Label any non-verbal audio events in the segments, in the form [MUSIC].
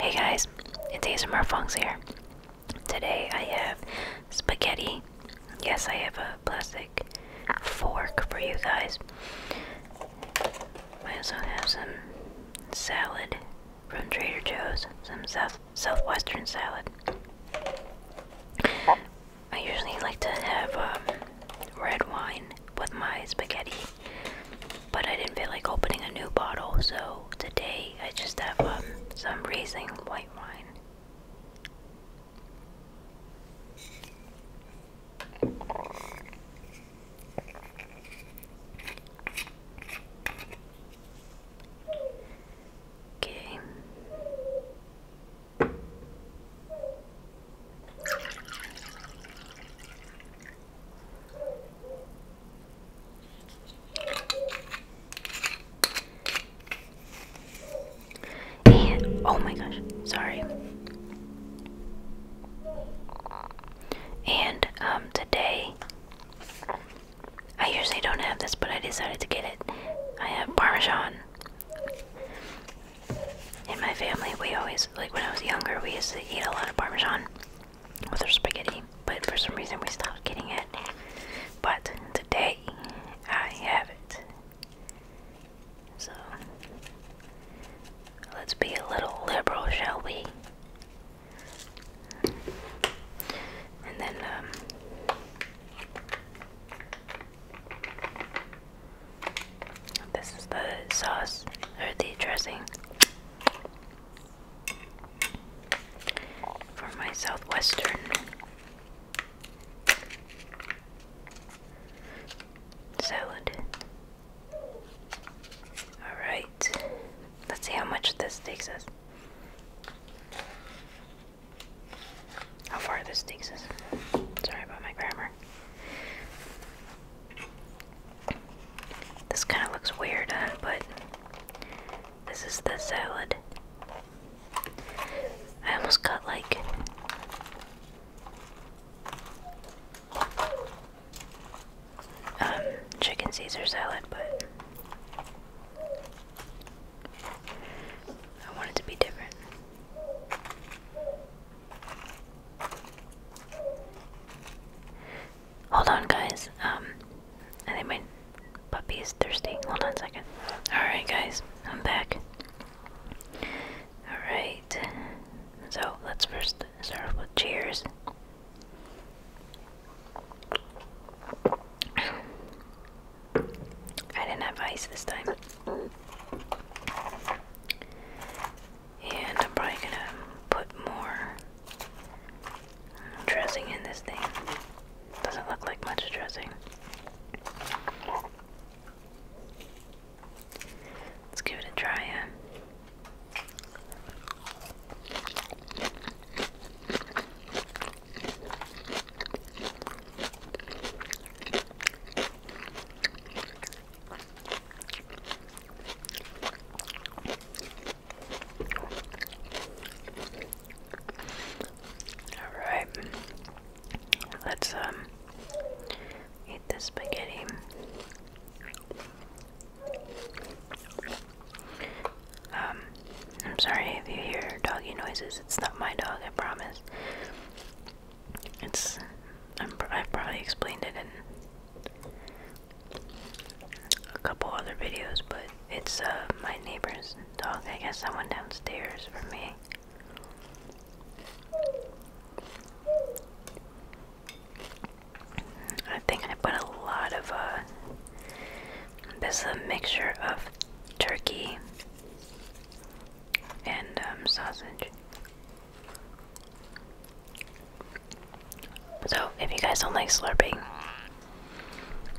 Hey guys, it's ASMR Funks here. Today I have spaghetti. Yes, I have a plastic fork for you guys. I also have some salad from Trader Joe's, some Southwestern salad. I usually like to have um, red wine with my spaghetti, but I didn't feel like opening a new bottle, so today I just have um, some raising white wine. Okay. And oh my gosh, sorry. And um, today I usually don't have this, but I decided to get it. I have parmesan in my family, we always, like when I was younger, we used to eat a lot of Parmesan with our spaghetti, but for some reason we stopped getting it. But today, I have it. So, let's be a little liberal, shall we? And then, um, this is the sauce or the dressing for my southwestern. Salad. Alright, let's see how much this takes us how far this takes us. Sorry about my grammar. This kind of looks weird, uh, but this is the salad. I almost got like um, chicken Caesar salad, but I want it to be different. Hold on, guys. Um, I think my puppy is thirsty. Hold on a second. Alright, guys, I'm back. Alright, so let's first start with cheers. I didn't have ice this time. And I'm probably gonna put more dressing in this thing. Doesn't look like much dressing. Let's give it a try. All right. Let's um eat this spaghetti. Um, I'm sorry if you hear doggy noises. It's not my dog, I promise. It's. i have probably explained it in a couple other videos, but it's uh, my neighbor's dog. I guess I went downstairs for me. I think I put a lot of, uh, this is a mixture of turkey and um, sausage. So, if you guys don't like slurping,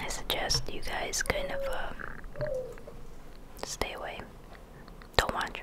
I suggest you guys kind of um, stay away. Don't watch.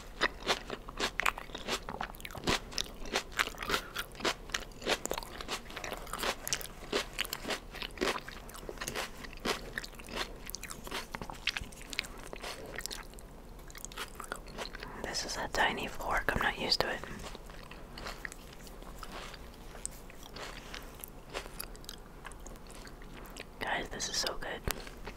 This is a tiny fork, I'm not used to it. Guys, this is so good.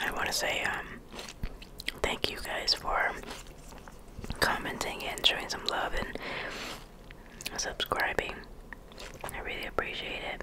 I want to say um, thank you guys for commenting and showing some love and subscribing. I really appreciate it.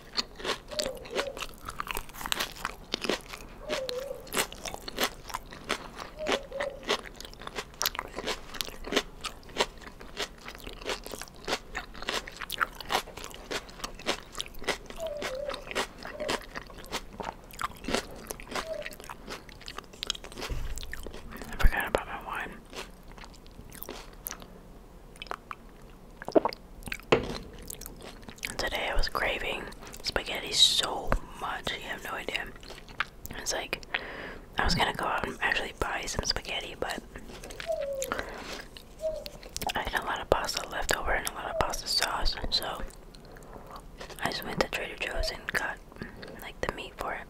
I forgot about my wine. Today I was craving spaghetti so much, you have no idea. It's like I was gonna go out and actually buy some spaghetti, but I had a lot of pasta leftover and a lot of pasta sauce, so I just went to Trader Joe's and got like the meat for it.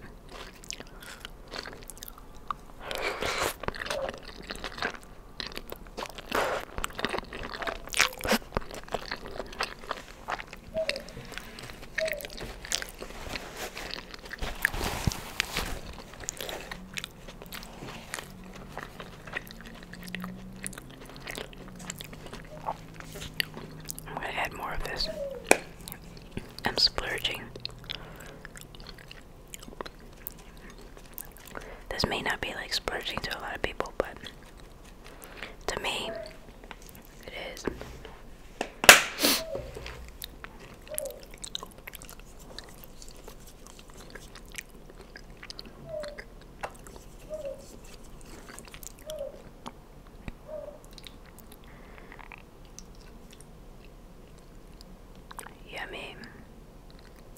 I'm going to add more of this. I'm splurging. This may not be like splurging to a lot of people, but to me, it is. Yummy.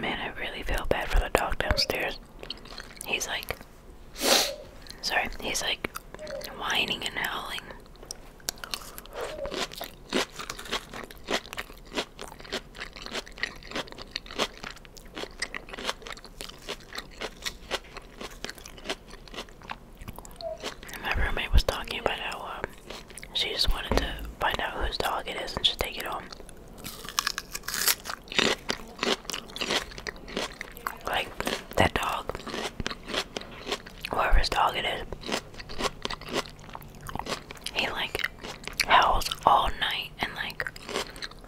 Man, I really feel bad for the dog downstairs. He's like, sorry, he's like whining and howling. My roommate was talking about how um, she just wanted to find out whose dog it is and just take it home. Like that dog, whoever's dog it is, he like howls all night and like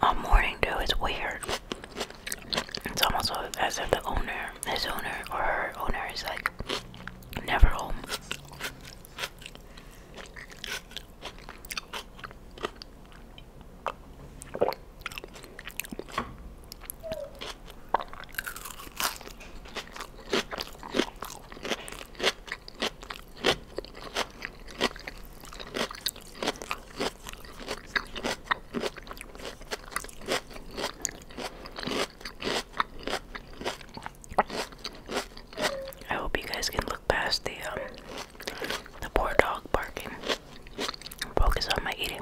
all morning too. It's weird. It's almost as if the owner, his owner or her owner, is like never home. I hope you guys can look past the um, the poor dog barking. Focus on my eating.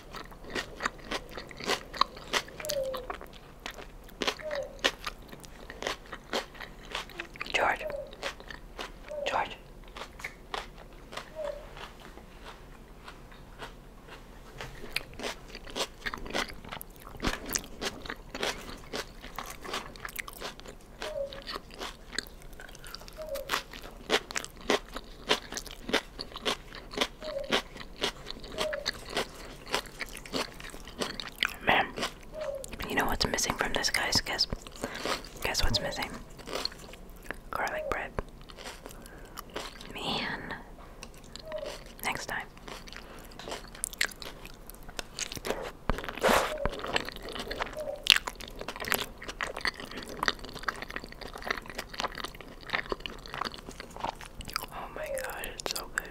George, George. Man, you know what's missing from this, guys? Guess, guess what's missing? Garlic bread. Man, next time. Oh my gosh, it's so good.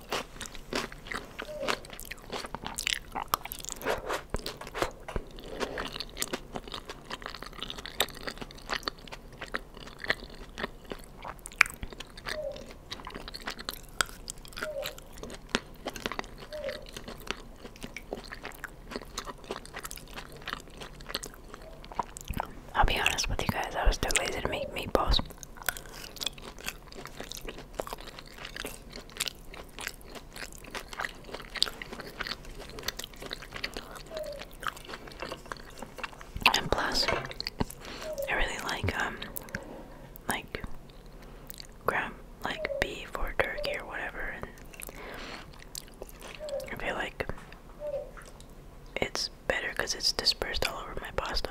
I'll be honest with you guys, I was too lazy to make meatballs. And plus, I really like um, like ground like beef or turkey or whatever, and I feel like it's better because it's dispersed all over my pasta.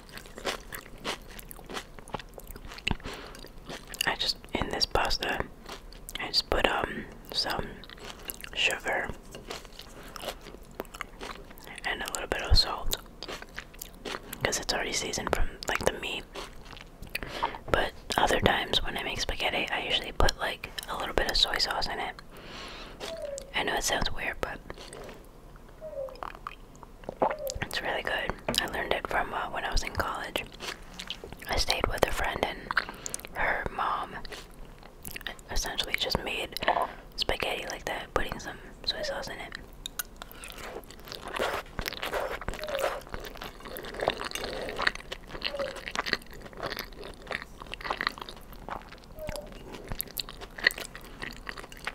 I just in this pasta I just put um some sugar and a little bit of salt because it's already seasoned from like the meat. But other times when I make spaghetti, I usually put like a little bit of soy sauce in it. I know it sounds weird, but it's really good. I learned it from uh, when I was in college. I stayed with a friend, and her mom essentially just made spaghetti like that, putting some soy sauce in it.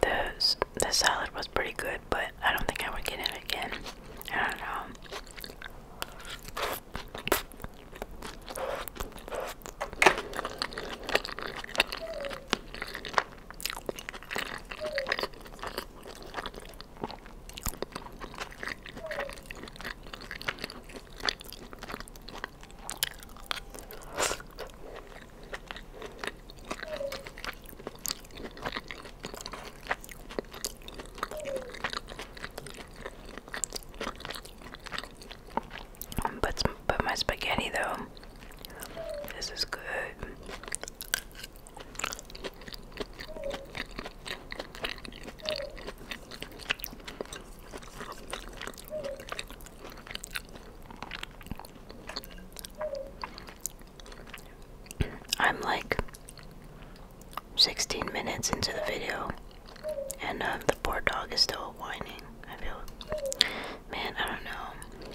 The, the salad was pretty good, but I don't think I would get it again. I don't know. But put my spaghetti though this is good. I'm like 16 minutes into the video, and uh, the poor dog is still whining. I feel, man, I don't know.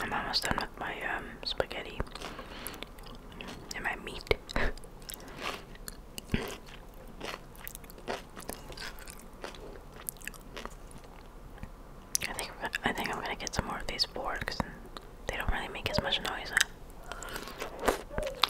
I'm almost done with my um, spaghetti and my meat. I think I think I'm gonna get some more of these boards because they don't really make as much noise.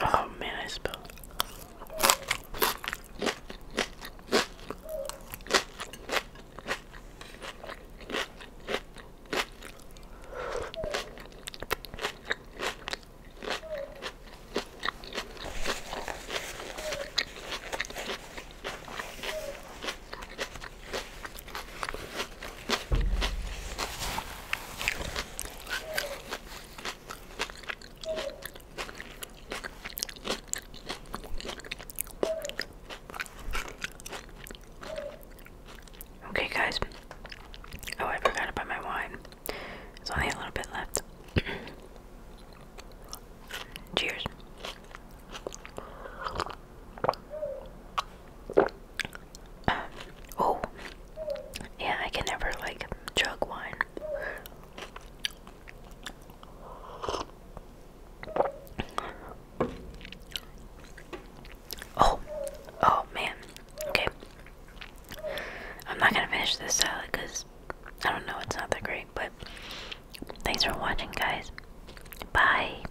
Oh man, I spilled. Okay, guys. Oh, I forgot about my wine. There's only a little bit left. [CLEARS THROAT] Cheers. Um, oh, yeah, I can never like chug wine. Oh, oh man. Okay. I'm not gonna finish this salad because I don't know, it's not that great, but thanks for watching, guys. Bye.